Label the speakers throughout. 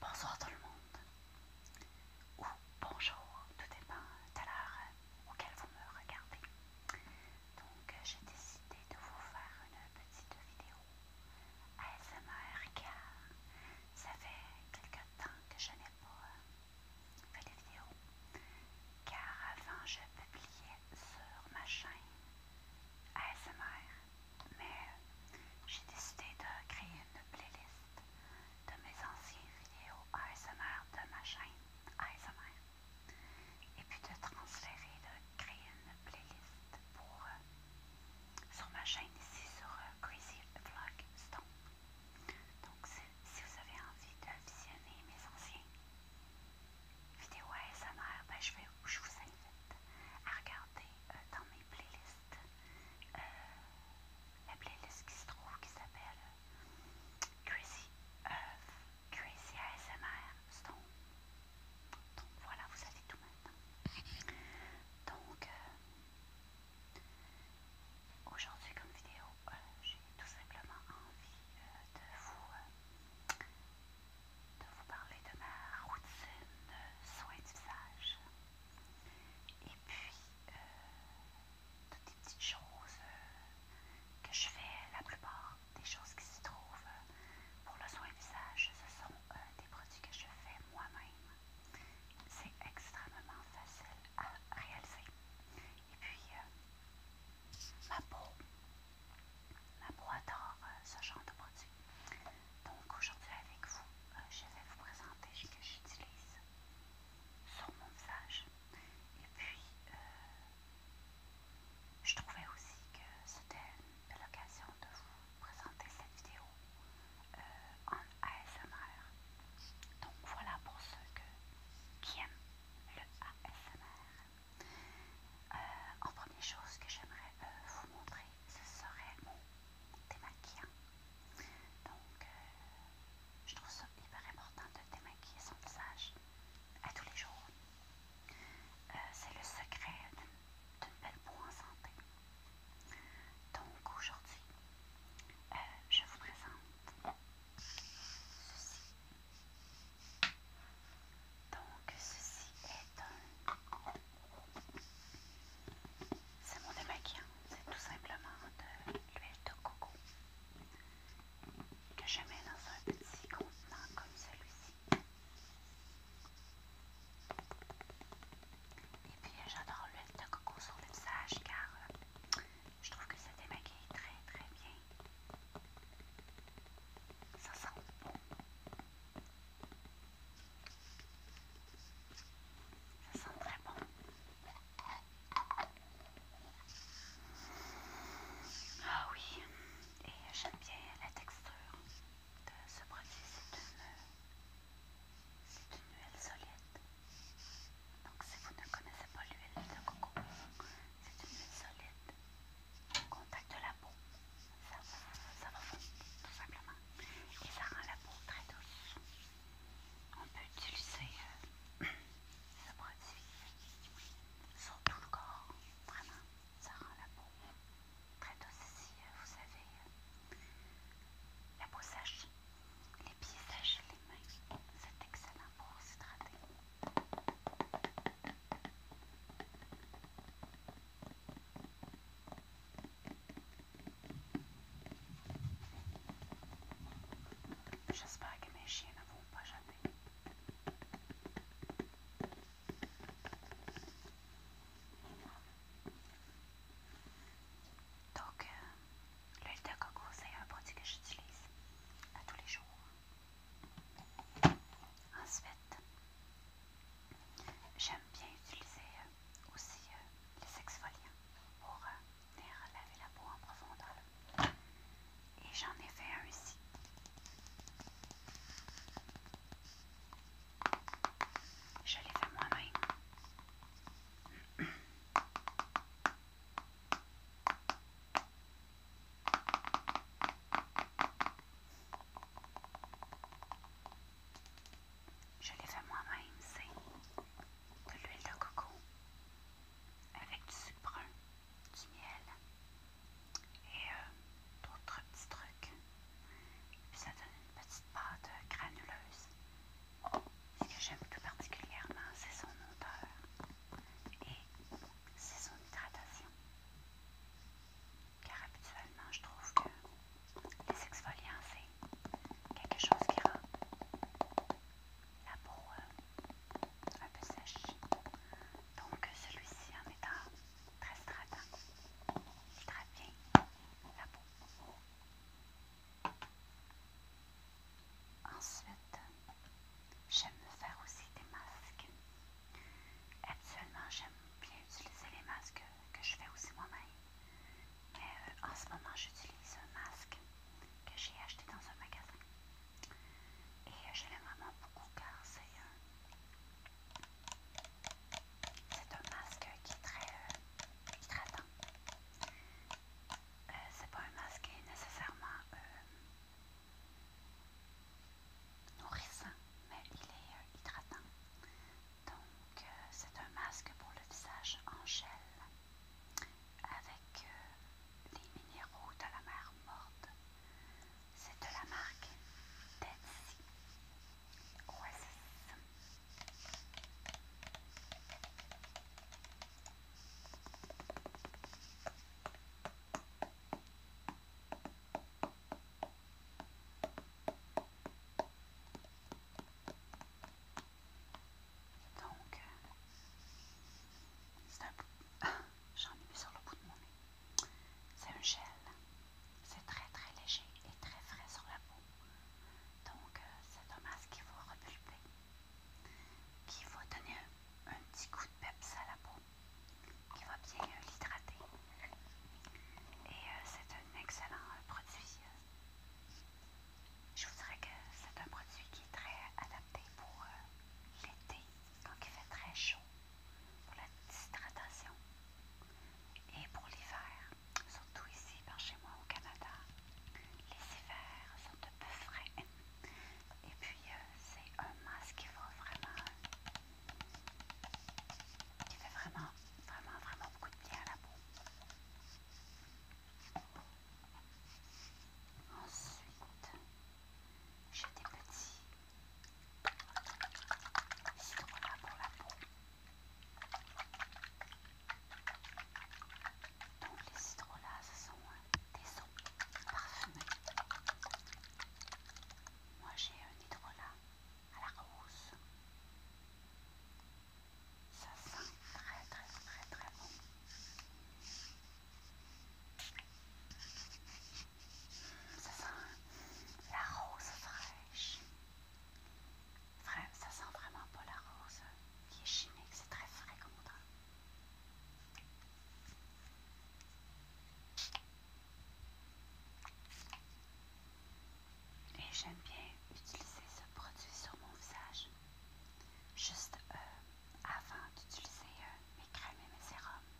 Speaker 1: Bonsoir tout le monde. Ou bonjour, tout dépend de l'heure auquel vous me regardez. Donc euh, j'ai décidé de vous faire une petite vidéo ASMR car ça fait quelque temps que je n'ai pas euh, fait de vidéo. Car avant je publiais sur ma chaîne ASMR mais j'ai décidé de créer une playlist de mes anciennes vidéos ASMR de ma chaîne ASMR et puis de transférer, de créer une playlist pour, euh, sur ma chaîne ici sur euh, Crazy Vlog Donc si, vous avez envie de visionner mes anciennes vidéos ASMR, ben, je, vais, je vous invite à regarder euh, dans mes playlists euh, la playlist qui se trouve qui s'appelle Crazy Earth, Crazy ASMR Stone. Donc voilà, vous savez tout maintenant. Donc euh, aujourd'hui comme vidéo, euh, j'ai tout simplement envie de vous de vous parler de ma routine euh, soin du visage. Et puis, euh, toutes les petites choses euh, que je fais, la plupart des choses qui se trouvent pour le soin du visage, ce sont des produits que je fais moi-même. C'est extrêmement facile à réaliser. Et puis, ma peau, ma peau adore ce genre de produits donc aujourd'hui avec vous, euh, je vais vous présenter ce que j'utilise sur mon visage. Et puis, euh, je trouvais aussi que c'était une belle occasion de vous présenter cette vidéo euh, en ASMR. Donc voilà pour ceux qui aiment le ASMR. en première chose que j'aimerais vous montrer, ce serait mon démaquillant. Donc, euh, je trouve ça hyper important de démaquiller son visage à tous les jours. Euh, c'est le secret d'une belle peau en santé. Donc, aujourd'hui, euh, je vous présente ceci. Donc ceci est un... C'est mon démaquillant, c'est tout simplement de l'huile de coco que je mets dans un petit contenant comme celui-ci. Et puis j'adore l'huile de coco sur le visage car euh, je trouve que ça démaquille très très bien. Ça sent bon. Ça sent très bon. Ah oui, et j'aime bien la texture de ce produit. C'est une, huile solide. Donc si vous ne connaissez pas l'huile de coco, c'est une huile solide contact de la peau ça, va fondre tout simplement et ça rend la peau très douce. On peut utiliser euh, ce produit sur tout le corps, vraiment, ça rend la peau très douce si euh, vous savez, euh, la peau sèche, les pieds sèches, les mains, c'est excellent pour s'hydrater. J'espère que mes chiens ne vont pas jeter. Donc, euh, l'huile de coco, c'est un produit que j'utilise à tous les jours. Ensuite, J'aime bien utiliser euh, aussi euh, les exfoliants pour euh, venir laver la peau en profondeur. Et j'en ai fait un ici. Je l'ai fait moi-même. Je l'ai fait moi-même, c'est de l'huile de coco avec du sucre du miel et euh, d'autres petits trucs. ça donne une petite pâte euh, granuleuse. Ce que j'aime tout particulièrement, c'est son odeur et c'est son hydratation car habituellement je trouve que les exfoliants c'est quelque chose qui rend la peau euh, un peu sèche. Donc celui-ci en étant très stratant, très bien la peau. Ensuite, j'aime faire aussi des masques. Actuellement, j'aime bien utiliser les masques que je fais aussi moi-même. Mais euh, en ce moment, j'utilise un masque que j'ai acheté dans un magasin. Et euh, je l'aime vraiment beaucoup car c'est euh, un masque qui est très hydratant. c'est pas un masque qui est nécessairement nourrissant, mais il est euh, hydratant. Donc, euh, c'est un masque pour le visage en gel avec euh, les minéraux de la mer morte. C'est de la marque Tetsy Oasis. Donc, euh, c'est un J'en ai mis sur le bout de mon nez. C'est un gel. C'est très très léger et très frais sur la peau. Donc, euh, c'est un masque qui va repulper, qui va donner un, un petit coup de peps à la peau il va bien l'hydrater. Et euh, c'est un excellent euh, produit. Je vous dirais que c'est un produit qui est très adapté pour euh, l'été, quand il fait très chaud, pour la déshydratation. Et pour l'hiver, surtout ici par chez moi au Canada, les hivers sont un peu frais. Et puis c'est un masque qui va vraiment qui fait vraiment, vraiment, vraiment beaucoup de bien à la peau. Ensuite, j'ai des petits citronnats pour la peau. Donc les citronnats, ce sont euh, des eaux parfumés. Moi j'ai un euh, hydrolat à la rose. Ça sent très très très très bon. Ça sent la rose fraîche. Ça sent vraiment pas la rose qui est chimique, c'est très frais comme odeur. Et j'aime bien utiliser ce produit sur mon visage, juste euh, avant d'utiliser euh, mes crèmes et mes sérums,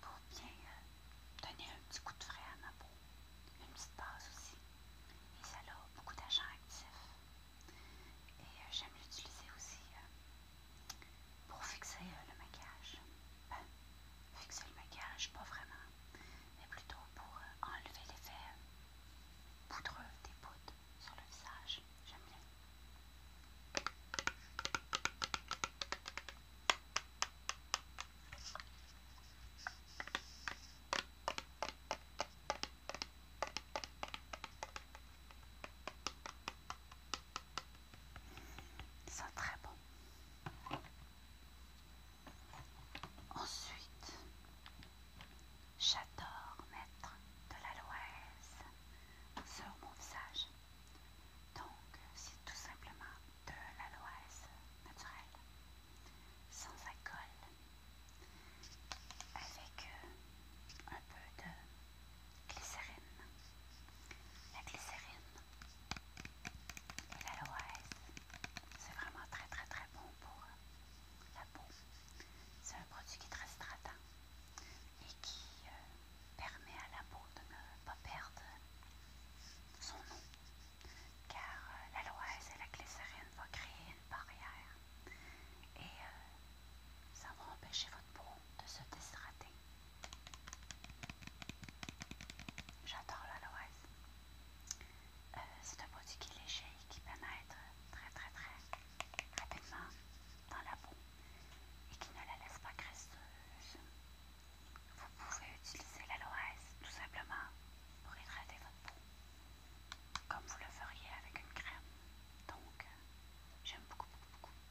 Speaker 1: pour bien euh, donner un petit coup de frais à ma peau, une petite base aussi. Et ça a beaucoup d'agents actifs. Et j'aime l'utiliser aussi pour fixer euh, le maquillage. Ben, fixer le maquillage, pas vraiment, mais plutôt pour euh, enlever l'effet euh, poudreux des poudres sur le visage. J'aime bien. Ils sont très bons. Ensuite, j'adore mettre de l'aloise sur mon visage. Donc, c'est tout simplement de l'aloise naturelle, sans alcool, avec euh, un peu de glycérine, la glycérine et l'aloès. C'est vraiment très très très bon pour la peau. C'est un produit qui est très hydratant et qui euh, permet à la peau de ne pas perdre son eau. Car euh, la et la glycérine vont créer une barrière et euh, ça va empêcher votre peau de se déshydrater. J'adore l'aloès. Euh, c'est un produit qui est léger et qui pénètre très très très rapidement dans la peau et qui ne la laisse pas graisseuse. Vous pouvez utiliser l'aloès tout simplement pour hydrater votre peau comme vous le feriez avec une crème. Donc, j'aime beaucoup, beaucoup, beaucoup.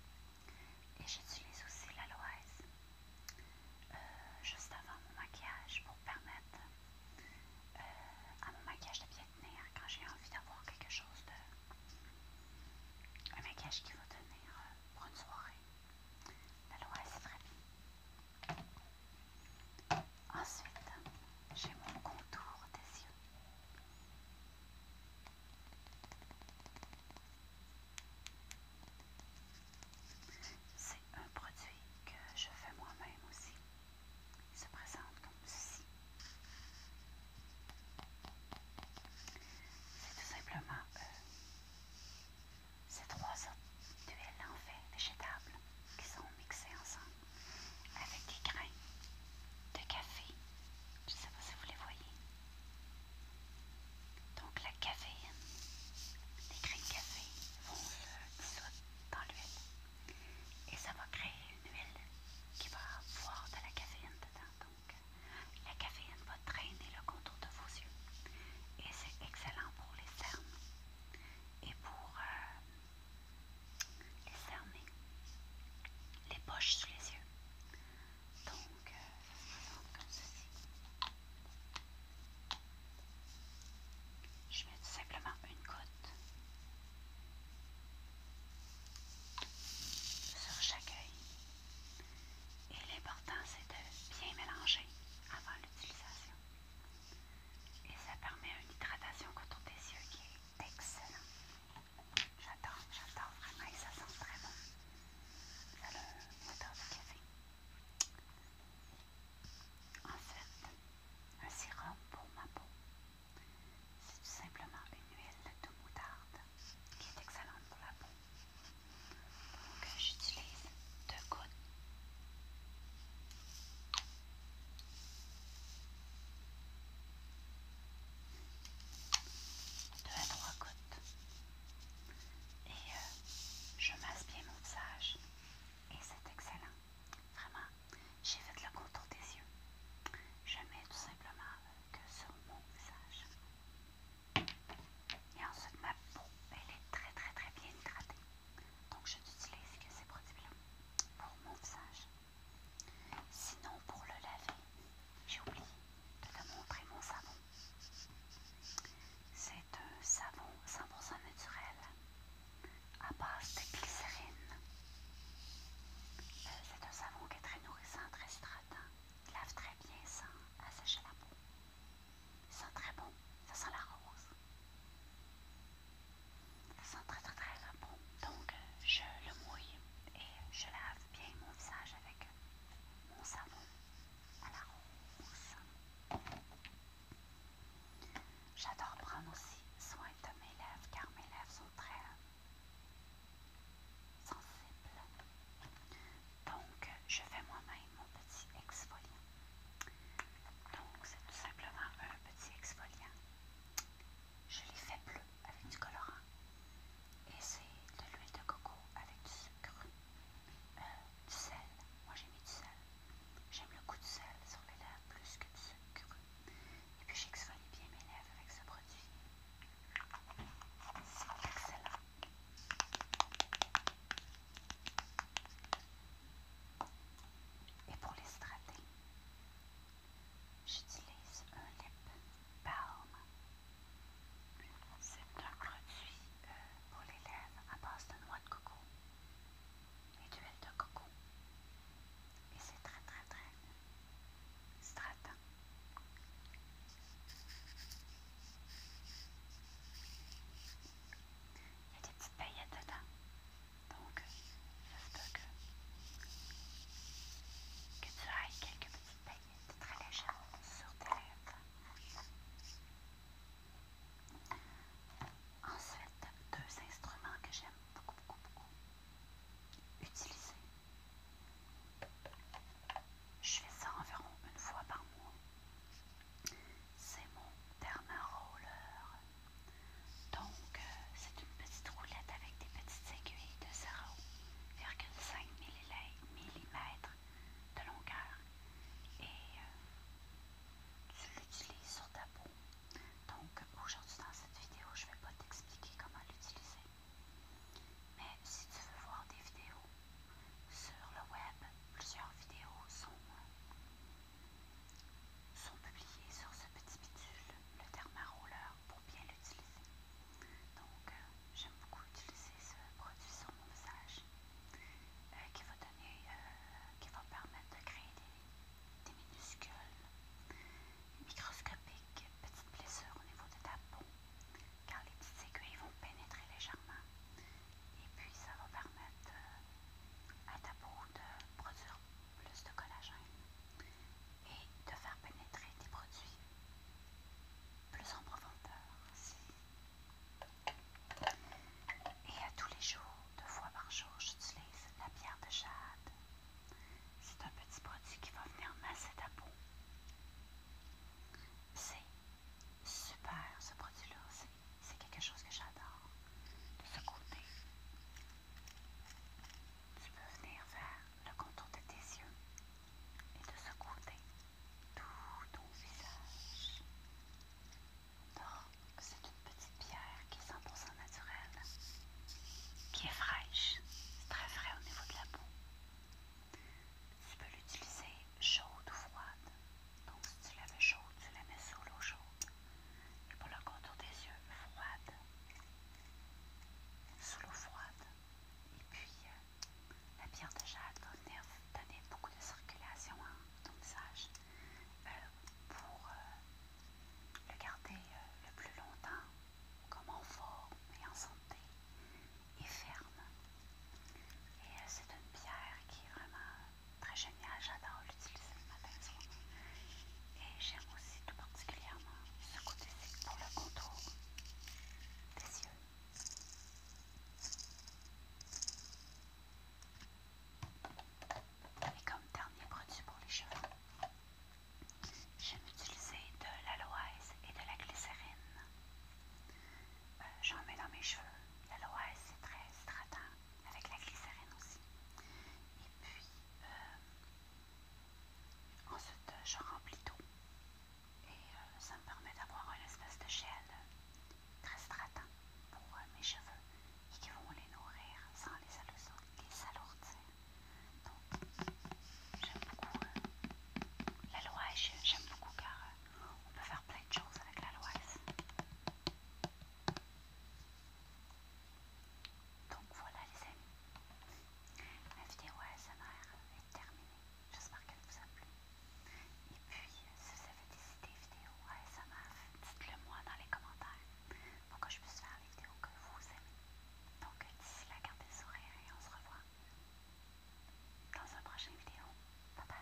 Speaker 1: Et j'utilise aussi la euh, juste avant mon maquillage pour permettre euh, à mon maquillage de bien tenir quand j'ai envie d'avoir quelque chose de. un maquillage qui va tenir euh, pour une soirée. la est très bien. Ensuite, j'ai mon contour des yeux. C'est un produit que je fais moi-même aussi. Il se présente comme ceci. C'est tout simplement euh, ces trois autres tuiles en fait végétables qui sont mixées ensemble avec des grains de café. Je ne sais pas si vous les voyez. Donc la caféine, les graines de café vont se dissoudre dans l'huile et ça va créer une huile qui va avoir de la caféine dedans. Donc la caféine va traîner le contour de vos yeux et c'est excellent pour les cernes et pour euh, les cernes, les poches sous les yeux. Donc, euh, comme ceci. Je mets tout simplement une goutte sur chaque œil. Et l'important, c'est de bien mélanger avant l'utilisation. Et ça permet une hydratation autour des yeux qui est excellente. J'adore, j'adore vraiment et ça sent très bon. le de café. En fait, un sérum pour ma peau. C'est tout simplement une huile de moutarde qui est excellente pour la peau. Donc j'utilise deux gouttes de à trois côtes. Et euh, je masse bien mon visage. Et c'est excellent. Vraiment, j'ai fait le contour des yeux. Je mets tout simplement que sur mon visage. Et ensuite, ma peau, elle est très très très bien hydratée. Donc, je n'utilise que ces produits-là pour mon visage. Sinon, pour le laver, j'ai oublié de te montrer mon savon. C'est un savon 100% naturel à base de glycérine. Euh, c'est un savon qui est très nourrissant, très hydratant. Il lave très bien sans assécher la peau. Il sent très bon. Ça sent la rose. Ça sent très très très bon. Donc euh, je le mouille et je lave bien mon visage avec mon savon à la rose. J'adore prendre aussi soin de mes lèvres car mes lèvres sont très sensibles. Donc, je fais moi-même mon petit exfoliant. Donc, c'est tout simplement un petit exfoliant je les fais bleu avec du colorant. Et c'est de l'huile de coco avec du sucre, euh, du sel. Moi j'ai mis du sel. J'aime le coup du sel sur les lèvres plus que du sucre. Et puis j'exfolie bien mes lèvres avec ce produit. C'est excellent. Et pour les strater, J'utilise un lip balm. C'est un produit euh, pour les lèvres à base de noix de coco et d'huile de coco. Et c'est très très très stratant. Il y a des petites paillettes dedans. Donc, ça se que que tu ailles quelques petites paillettes très légères sur tes lèvres. Ensuite, deux instruments que j'aime beaucoup, beaucoup, beaucoup utiliser. Je fais ça environ une fois par mois. C'est mon thermaroller. Donc, euh, c'est une petite roulette avec des petites aiguilles de zéro mm de longueur et euh, tu l'utilises sur ta peau. Donc aujourd'hui dans cette vidéo, je ne vais pas t'expliquer comment l'utiliser. Mais si tu veux voir des vidéos sur le web, plusieurs vidéos sont, euh, sont publiées sur ce petit bidule, le thermaroller pour bien l'utiliser. Donc, euh, j'aime beaucoup utiliser ce produit sur mon visage euh, qui va donner, euh, qui va permettre de créer des, minuscules, microscopiques, petites blessures au niveau de ta peau car les petites aiguilles vont pénétrer légèrement et puis ça va permettre à ta peau de produire plus de collagène et de faire pénétrer tes produits plus en profondeur aussi. Et à tous les jours, deux fois par jour, j'utilise la pierre de jade. C'est un petit produit qui va venir masser ta peau. C'est super ce produit-là, c'est quelque chose que j'adore. De ce côté, tu peux venir vers le contour de tes yeux et de ce côté, tout ton visage. c'est une petite pierre qui est 100% naturelle, qui est fraîche, très frais au niveau de la peau. Tu peux l'utiliser chaude ou froide. Donc, si tu la chaude, tu la mets sous l'eau chaude. Et pour le contour des yeux, froide sous l'eau froide. Et puis, euh, la pierre de jade va donner beaucoup de circulation à ton visage pour euh, le garder euh, le plus longtemps comme en forme et en santé et ferme. Et c'est une pierre qui est vraiment très géniale. J'adore l'utiliser le matin. Et j'aime aussi tout particulièrement ce côté-ci pour le contour des yeux. Et comme dernier produit pour les cheveux, j'aime utiliser de l'aloès et de la glycérine. Euh, j'en mets dans mes cheveux. L'aloès c'est très hydratant, avec la glycérine aussi. Et puis, euh, Ensuite, euh, je remplis tout et euh, ça me permet d'avoir une espèce de gel euh, très stratant pour mes cheveux qui vont les nourrir sans les, les alourdir. Donc, j'aime beaucoup la l'aloise, j'aime beaucoup car on peut faire plein de choses avec la l'aloise. Donc voilà les amis, ma vidéo ASMR est terminée. J'espère qu'elle vous a plu. Et puis, euh, si vous avez des idées vidéos ASMR, dites-le moi dans les commentaires pour que je puisse faire les vidéos que vous aimez. Donc d'ici là, gardez le sourire et on se revoit dans une prochaine vidéo. Bye bye!